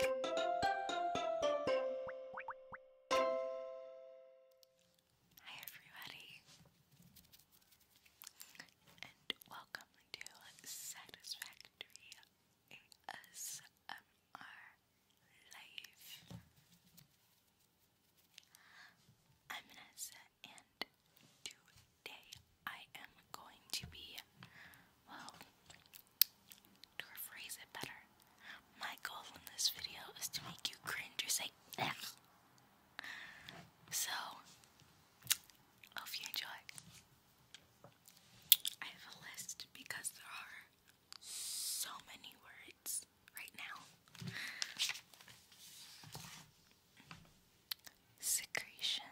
Hi everybody and welcome to Satisfactory ASMR Live. I'm Vanessa and today I am going to be well to rephrase it better, my goal in this video is to make you cringe or say, Egh. So, hope you enjoy. I have a list because there are so many words right now. Secretion,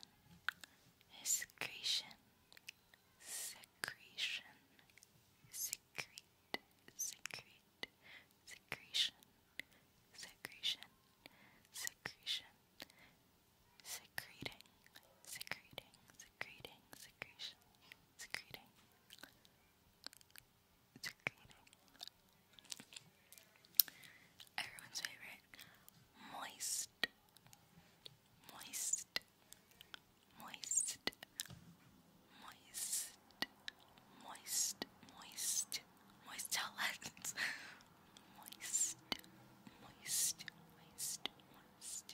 Secretion, secretion, secrete, secrete, secretion, secretion, secretion, secreting, secreting, secreting, secretion, secreting, secreting. Everyone's favorite, moist. Moist, moist, moist, moist, moist, moist, moist outlets. moist, moist, moist, moist.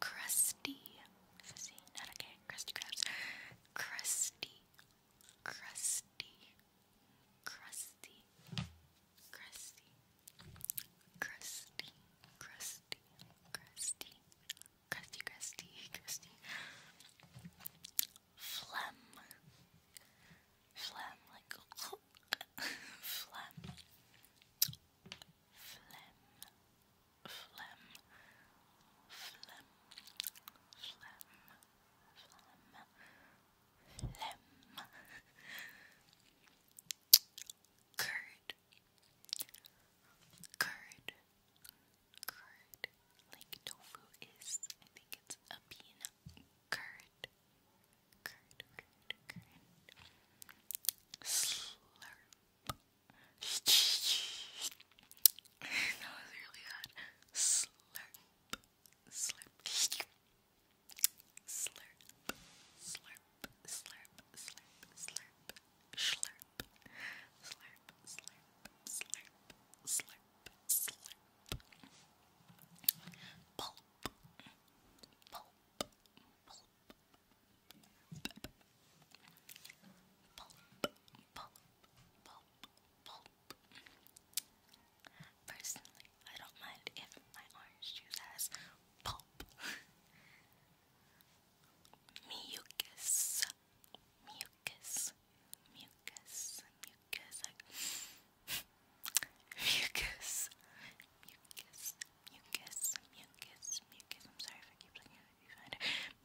Crusty, not okay, crusty crabs. Crusty, crusty, crusty, crusty, crusty, crusty, crusty, crusty, crusty, crusty, phlegm, phlegm, like phlegm, phlegm, phlegm, phlegm, phlegm. Phlegm, phlegm, curd, curd, curd. Like tofu is, I think it's a peanut curd, Slurp. that was really hard. Slurp, slurp. Slurp, slurp, slurp, slurp, slurp, slurp, slurp, slurp, slurp, slurp, slurp. Pulp, pulp, pulp, pulp, pulp, pulp, pulp. Personally, I don't mind if my orange juice has pulp. mucus, mucus, mucus, mucus, like mucus, mucus, mucus, mucus, mucus. I'm sorry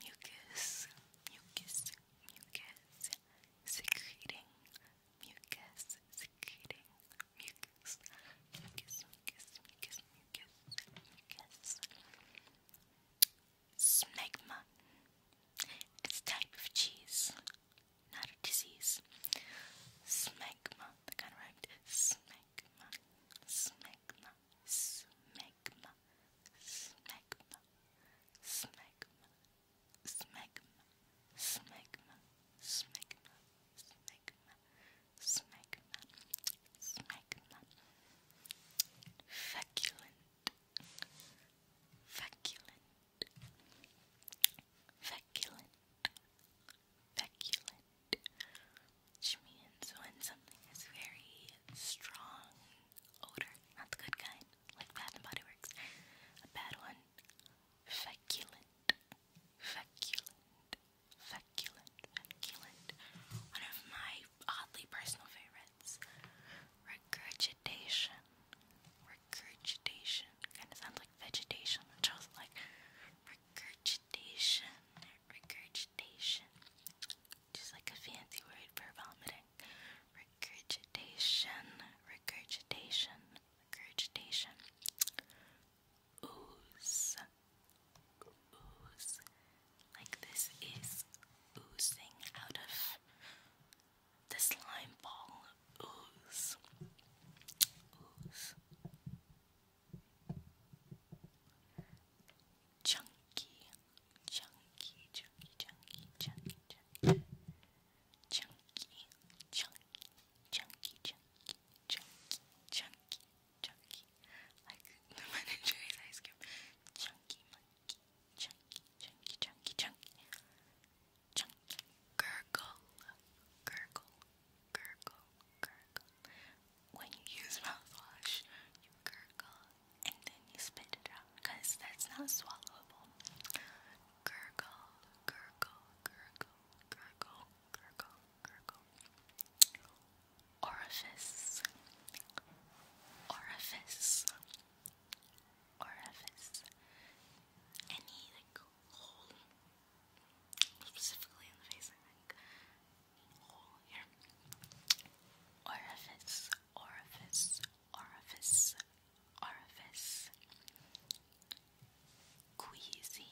mucus, mucus, mucus, secreting, mucus, communicating mucus, mucus, mucus, mucus, mucus, mucus. Smegma. It's a type of cheese, not a disease. Smegma. That kind of rhymed. Smegma, smegma, smegma, smegma, smegma, smegma, smegma, smegma, smegma, smegma, Smegma, smegma, feculent, feculent, feculent, feculent, which means when something is very strong odor, not the good kind, like Bath and Body Works, a bad one, feculent, feculent. Feculent, feculent. One of my oddly personal favorites. Regurgitation. Regurgitation. Kind of sounds like vegetation, which like, regurgitation, regurgitation. Just like a fancy word for vomiting. Regurgitation, regurgitation, regurgitation ooze, ooze. Like this is oozing out of the slime ball. Ooze, ooze. Chunky, chunky, chunky, chunky, chunky, chunky, chunky, chunky, chunky, chunky, chunky, chunky, chunky. Like the manager's ice cream. Chunky monkey, chunky, chunky, chunky, chunky. Chunky. Gurgle, gurgle, gurgle, gurgle. When you use mouthwash, you gurgle and then you spit it out because that's not swallowable. Gurgle, gurgle, gurgle, gurgle, gurgle. Orifice, orifice, orifice. Any like hole, specifically in the face, I Hole here. Orifice, orifice, orifice, orifice. Queasy,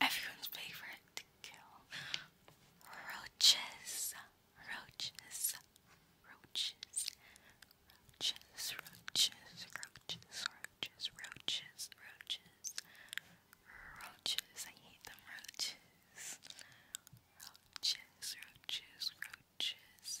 everyone's favorite kill roaches, roaches, roaches, roaches, roaches, roaches, roaches, roaches, roaches, roaches. I hate them, roaches, roaches, roaches, roaches.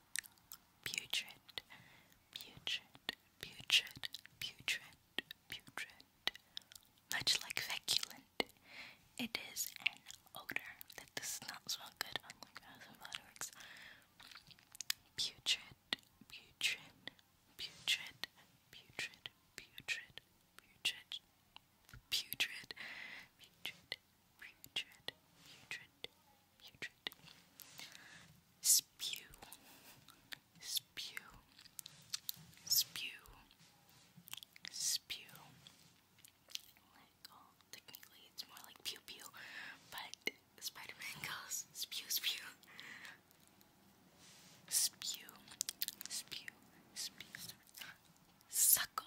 putrid, putrid, putrid, putrid, putrid. Much like feculent, it is an odor that does not smell good on like thousand fireworks. Putrid, putrid, putrid, putrid, putrid, putrid, putrid, putrid, putrid, putrid, putrid. Spew, spew, spew, spew. Like, oh, technically it's more like pew pew, but Spider-Man goes spew spew. Spew, spew, spew, suckle,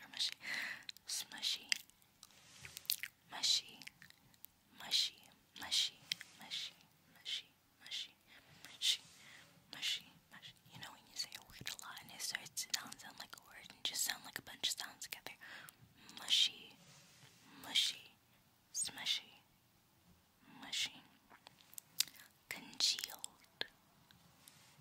or mushy, smushy, mushy, mushy, mushy, mushy, mushy, mushy, mushy, mushy, mushy. You know when you say a word a lot and it starts to not sound like a word and just sound like a bunch of sounds together. Mushy, mushy, smushy, mushy. Congealed,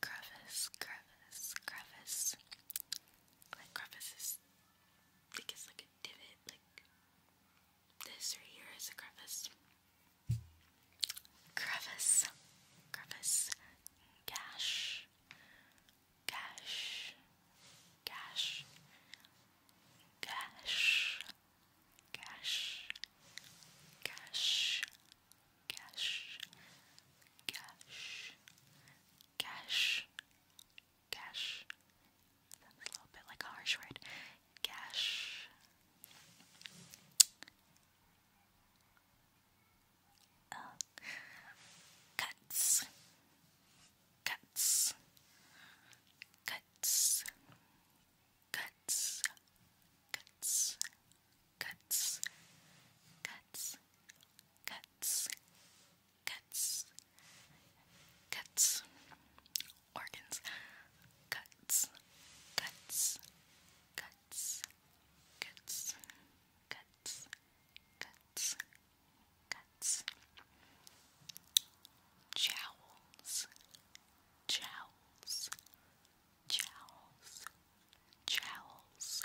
crevice, crevice, crevice. Like crevice is, I think it's like a divot, like this right here is a crevice. Crevice, crevice, gash, gash, gash, gash, gash, gash, gash, gash, Gash. Gash. Sounds a little bit like harsh word. Gash. Uh, cuts. Cuts. Cuts. Cuts. Cuts cuts, cuts, cuts, cuts, cuts, organs, cuts, cuts, cuts, cuts, cuts, cuts, cuts, jowls, jowls, jowls, jowls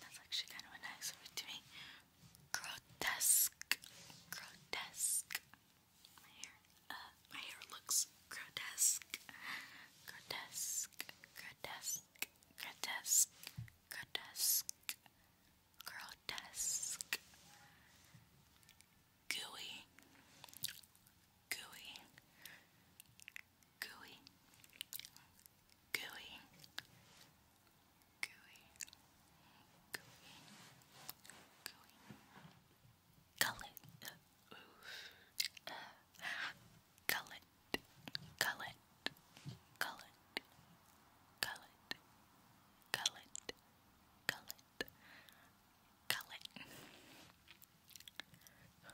that's actually kind of a nice word to me. Grotesque. Grotesque. My hair. Uh, my hair looks grotesque. Grotesque. Grotesque. Grotesque. Grotesque. Grotesque. Gooey. Gooey gooey, gooey, gooey, gooey, gooey. Gullet, uh, ooh, uh, gullet, gullet, gullet, gullet, gullet, gullet, gullet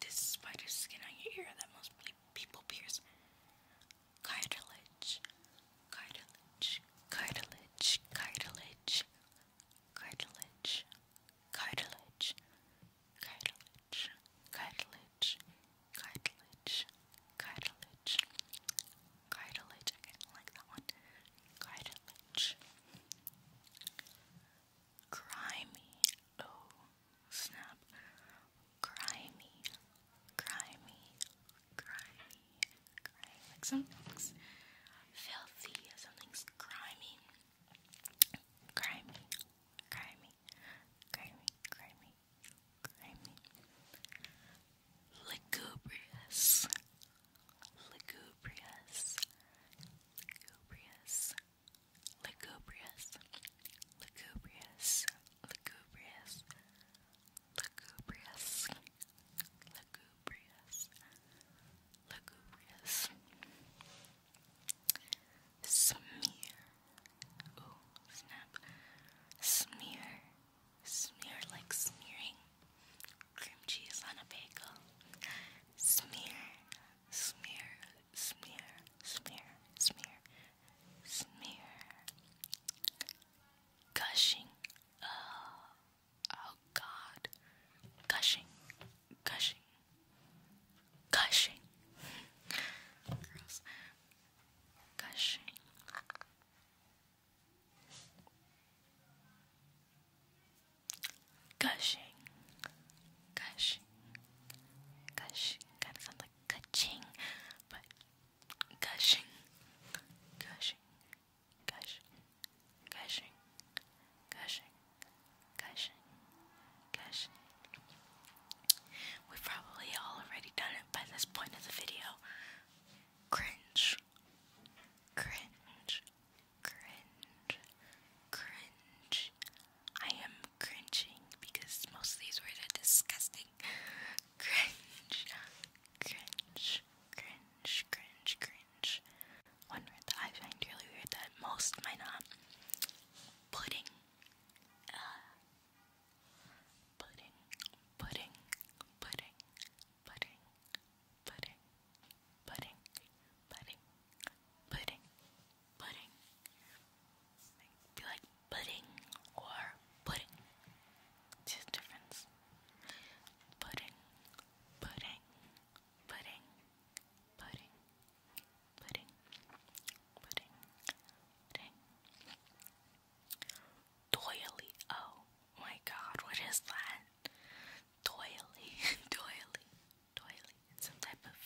this spider skin on your ear that most people pierce. Cartilage, cartilage, cartilage, cartilage, cartilage, cartilage, cartilage, cartilage, cartilage, cartilage, I kind of like that one. Cartilage. Grimy. Oh, snap, grimy, grimy, grimy, grimy. Like something's filthy, something's grimy, grimy, grimy, grimy, grimy, grimy. Lugubrious, lugubrious, lugubrious. Lugubrious, lugubrious, lugubrious, lugubrious, lugubrious, lugubrious. Smear, oh snap, smear, smear like smearing cream cheese on a bagel. Smear, smear, smear, smear, smear, smear, gushing. Oh, oh God, gushing, gushing, gushing. Gross. Gushing. Gushing. Gushing. Gushing. Kind of sounds like but gushing, gushing, gushing, gushing, gushing, gushing, gushing. We've probably all already done it by this point of the video. Cringe, cringe, cringe, cringe, I am cringing because most of these words are disgusting. Cringe, cringe, cringe, cringe, cringe. One word that I find really weird that most might not. Pudding. pudding, pudding, pudding, pudding, pudding, pudding, pudding, pudding, pudding. Do like pudding or pudding? Just difference. Pudding, pudding, pudding, pudding, pudding, pudding, pudding. Doily. Oh my god, what is that? Toilety, toilety, doily. Some type of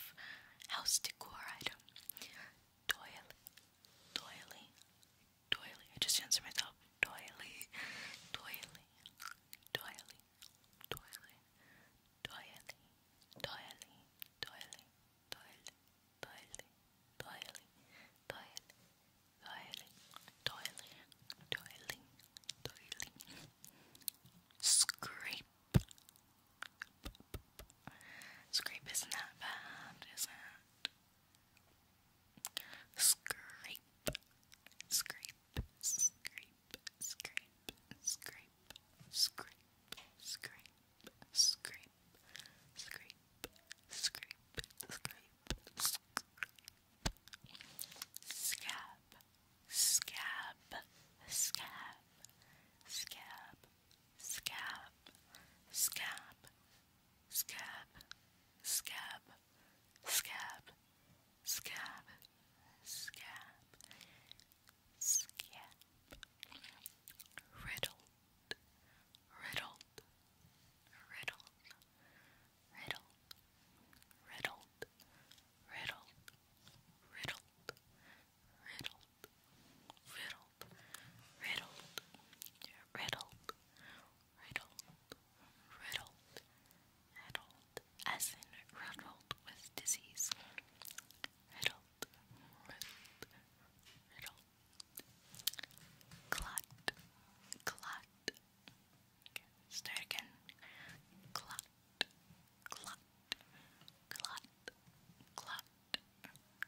house decor item doily, doily, doily. I just answered myself. doily, doily, doily, doily, doily, doily, doily, doily, doily, doily, doily, doily, doily, doily. Scrape, Scrape isn't that bad, is it? Scrape, scrape, scrape, scrape, scrape, scrape, scrape, scrape, scrape, scrape, scrape, scrape, scab, scab, scab, scab, scab, scab, scab, scab, scab, scab, scab, scab, riddled, riddled, riddled, riddled, riddled, riddled, riddled, riddled, riddled, riddled, riddled, riddled, riddled, riddled, as in riddled with disease. Riddled, riddled, riddled. Clot, clot. start again. Clot, clot, clot, clot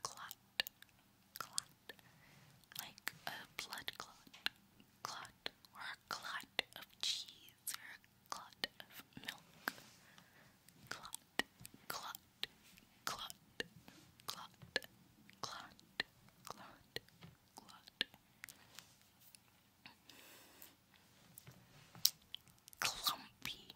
clot, clot, like a blood clot, clot, or a clot of cheese, or a clot of milk, clot, clot, clot, clot, clot, clot, clot. Clumpy,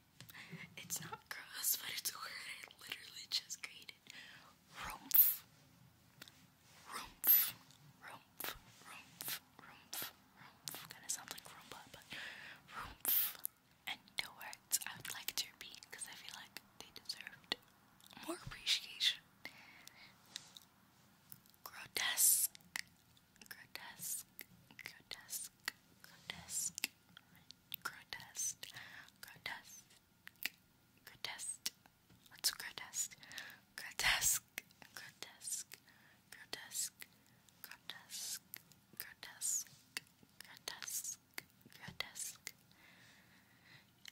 It's not gross, but it's a word I literally just created. Rumpf. Rumpf. Rumpf. Rumpf. Rumpf. Rumpf. Kinda sounds like Roomba, but rumpf. And no words I would like to repeat because I feel like they deserved more appreciation. Grotesque. Grotesque. Grotesque. Grotesque. Grotesque. Grotesque. Grotesque. What's grotesque? Grotesque. Grotesque. Grotesque. Grotesque. Grotesque. Grotesque. Grotesque.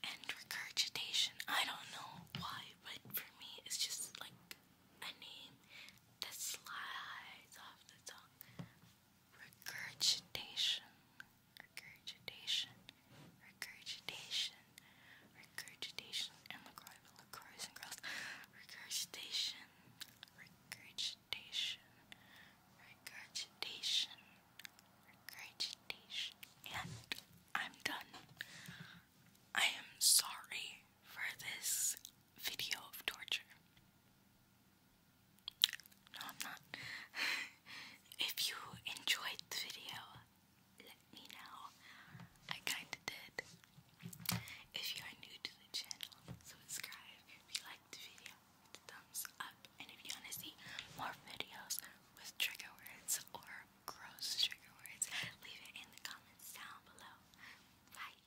And regurgitation. I don't know why, but for me it's just like a name that slides off the tongue regurgitation, regurgitation, regurgitation, regurgitation, and lacroix, lacroix and cross, regurgitation, regurgitation, regurgitation, regurgitation, and I'm done. I am sorry for this video of torture. I'm not. if you enjoyed the video, let me know. I kinda did. If you are new to the channel, subscribe. If you liked the video, thumbs up. And if you want to see more videos with trigger words or gross trigger words, leave it in the comments down below. Bye.